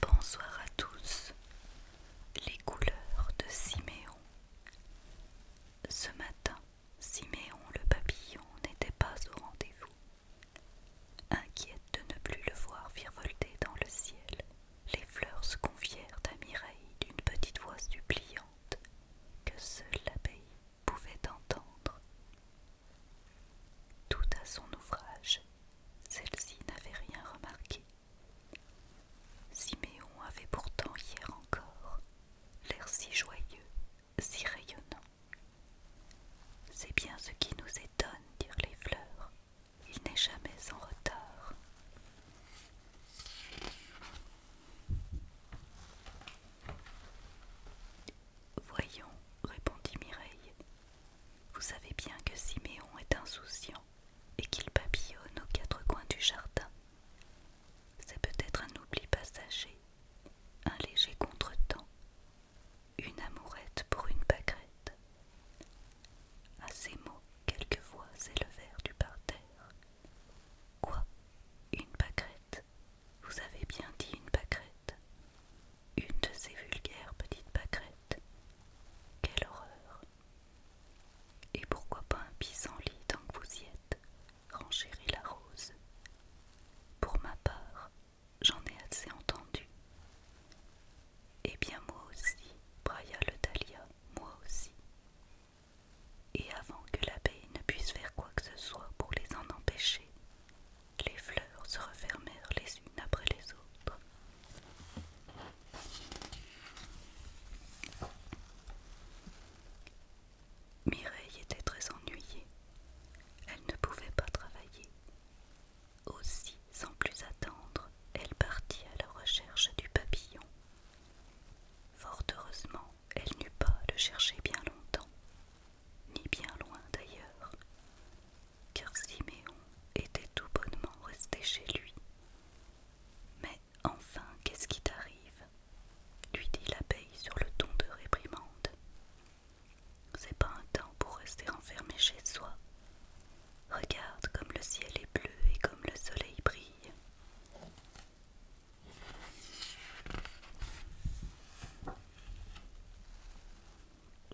Bonsoir à tous, les couleurs de Siméon. Ce matin, Siméon le papillon n'était pas au rendez-vous. Inquiète de ne plus le voir virevolter dans le ciel, les fleurs se confièrent à Mireille d'une petite voix suppliante que seule l'abbaye pouvait entendre. Tout à son ouvrage, celle-ci n'avait rien remarqué. Siméon avait pourtant hier encore l'air si joyeux, si rayonnant. C'est bien ce qui nous étonne, dirent les fleurs, il n'est jamais en retard. Voyons, répondit Mireille, vous savez bien que Siméon est insouciant et qu'il papillonne aux quatre coins du jardin. C'est peut-être un oubli passager, un léger contretemps, une amourette pour une pâquerette. À ces mots, quelques voix s'élevèrent du parterre. Quoi Une pâquerette Vous avez bien dit une pâquerette Une de ces vulgaires petites pâquerettes Quelle horreur Et pourquoi pas un lit, tant que vous y êtes renchérit la rose. Pour ma part, j'en ai assez entendu. Eh bien moi aussi, brailla le Dahlia, moi aussi. Et avant que l'abeille ne puisse faire quoi que ce soit pour les en empêcher, les fleurs se refermèrent les unes après les autres. Mireille était très ennuyée. Elle ne pouvait pas travailler. Aussi, sans plus attendre, elle partit à la recherche du papillon. Fort heureusement, elle n'eut pas à le chercher bien longtemps, ni bien loin d'ailleurs, car Siméon était tout bonnement resté chez lui. Mais enfin, qu'est-ce qui t'arrive lui dit l'abeille sur le ton de réprimande. C'est pas un temps pour rester enfermé chez soi. Regarde comme le ciel est bleu et comme le soleil brille.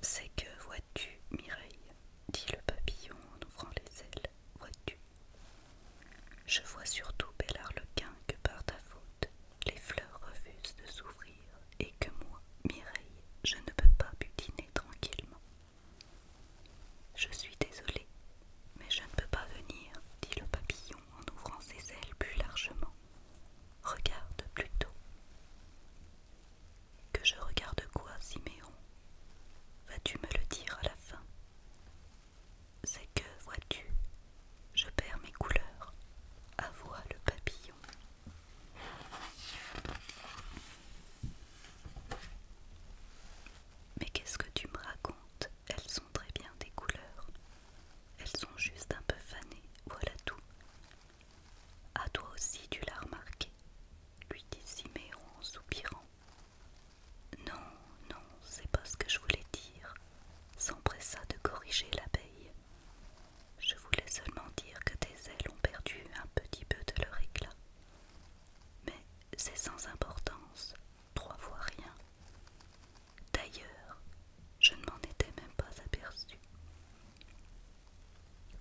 C'est que vois-tu, Mireille dit le papillon en ouvrant les ailes. Vois-tu Je vois surtout, bel arlequin, que par ta faute, les fleurs refusent de s'ouvrir et que moi, Mireille, je ne peux pas butiner tranquillement. Je suis désolée, mais je ne peux pas venir, dit le papillon en ouvrant ses ailes plus largement. Regarde plutôt. Que je regarde quoi, Siméon Vas-tu me le dire à la fin C'est que, vois-tu, je perds mes couleurs, avoua le papillon. Mais qu'est-ce que tu me racontes Elles sont très bien des couleurs. Elles sont juste un peu fanées, voilà tout. À toi aussi tu l'as remarqué, lui dit Siméon en soupirant. Non, non, c'est pas ce que je voulais dire, s'empressa de corriger l'abeille. Je voulais seulement dire que tes ailes ont perdu un petit peu de leur éclat. Mais c'est sans importance, trois fois rien. D'ailleurs, je ne m'en étais même pas aperçu.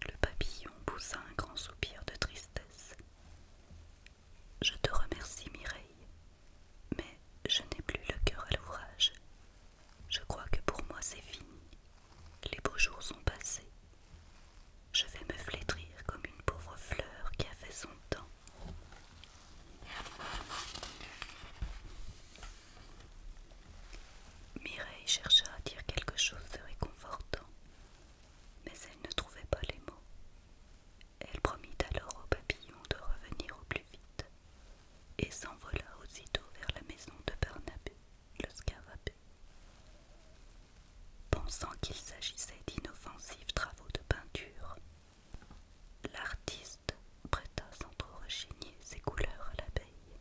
Le papillon poussa un grand soupir de tristesse. Je te remercie, Mireille, mais je n'ai plus le cœur à l'ouvrage. Je crois que pour moi c'est fini. Les beaux jours sont passés. Je vais me flétrir comme une pauvre fleur qui a fait son temps. Mireille chercha à dire quelque chose de réconfortant, mais elle ne trouvait pas les mots. Elle promit alors au papillon de revenir au plus vite et s'envola aussitôt vers la maison de Barnabé, le Scavabé. Pensant qu'il s'agissait d'inoffensifs travaux de peinture, l'artiste prêta sans trop rechigner ses couleurs à l'abeille.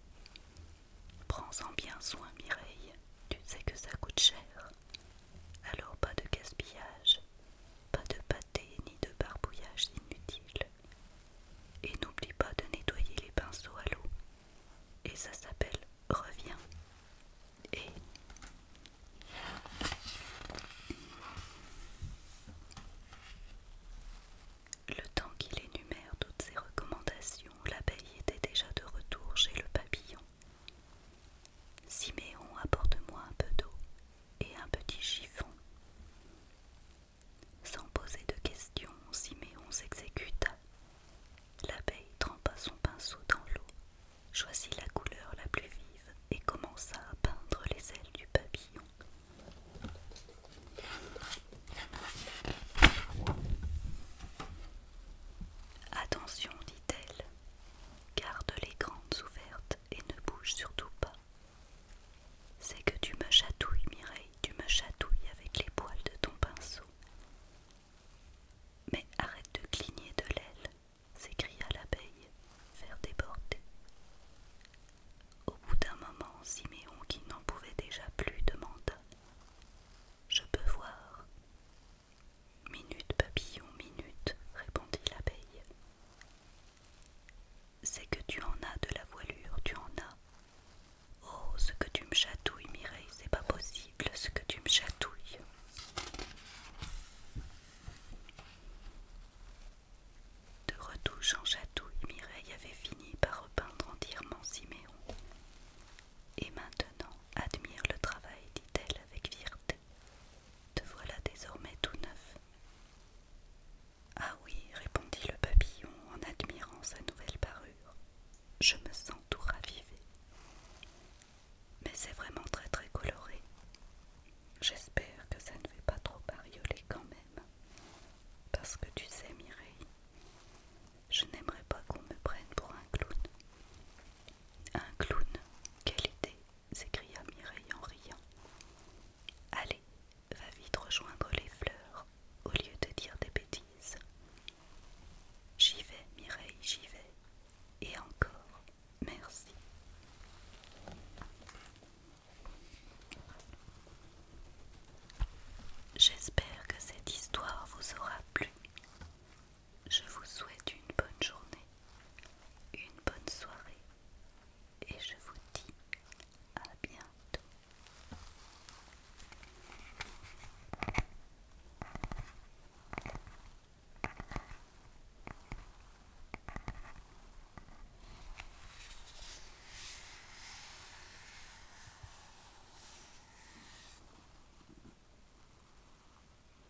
Prends-en bien soin, Mireille, tu sais que ça coûte cher. Alors pas de gaspillage, pas de pâté ni de barbouillage inutile. Et n'oublie pas de nettoyer les pinceaux à l'eau. Et ça s'appelle Reviens. Et... Le temps qu'il énumère toutes ses recommandations, l'abeille était déjà de retour chez le papillon. Siméon, apporte-moi un peu d'eau et un petit chiffon. Sans poser de questions, Siméon s'exécuta. L'abeille trempa son pinceau dans l'eau, choisit la couleur la plus vive et commença à peindre les ailes du papillon. Attention, dit-elle, garde les grandes ouvertes et ne bouge surtout pas. C'est que tu me chatouilles, Mireille, tu me chatouilles avec les poils de ton pinceau. Mais arrête de cligner de l'aile, s'écria l'abeille, faire déborder. Au bout d'un moment, Siméon, qui n'en pouvait déjà plus, demanda Je peux voir Minute, papillon, minute, répondit l'abeille. C'est que tu en as de la voilure, tu en as. Oh, ce que tu me chatouilles, Mireille, c'est pas possible, ce que tu me chatouilles. De retouche en chatouille, Mireille avait fini par repeindre entièrement Siméon. Et maintenant, admire le travail, dit-elle avec fierté. Te voilà désormais tout neuf. Ah oui, répondit le papillon en admirant sa nouvelle parure. Je me sens tout ravivé. Mais c'est vraiment très très coloré. J'espère que ça ne fait pas trop barioler quand même. Parce que tu sais, Mireille, je n'aimerais pas qu'on me prenne pour un clown. Un clown, quelle idée s'écria Mireille en riant. Allez, va vite rejoindre les fleurs, au lieu de dire des bêtises. J'y vais, Mireille, j'y vais. Et encore, merci. J'espère que cette histoire vous aura plu. Je vous souhaite une bonne journée, une bonne soirée et je vous dis à bientôt.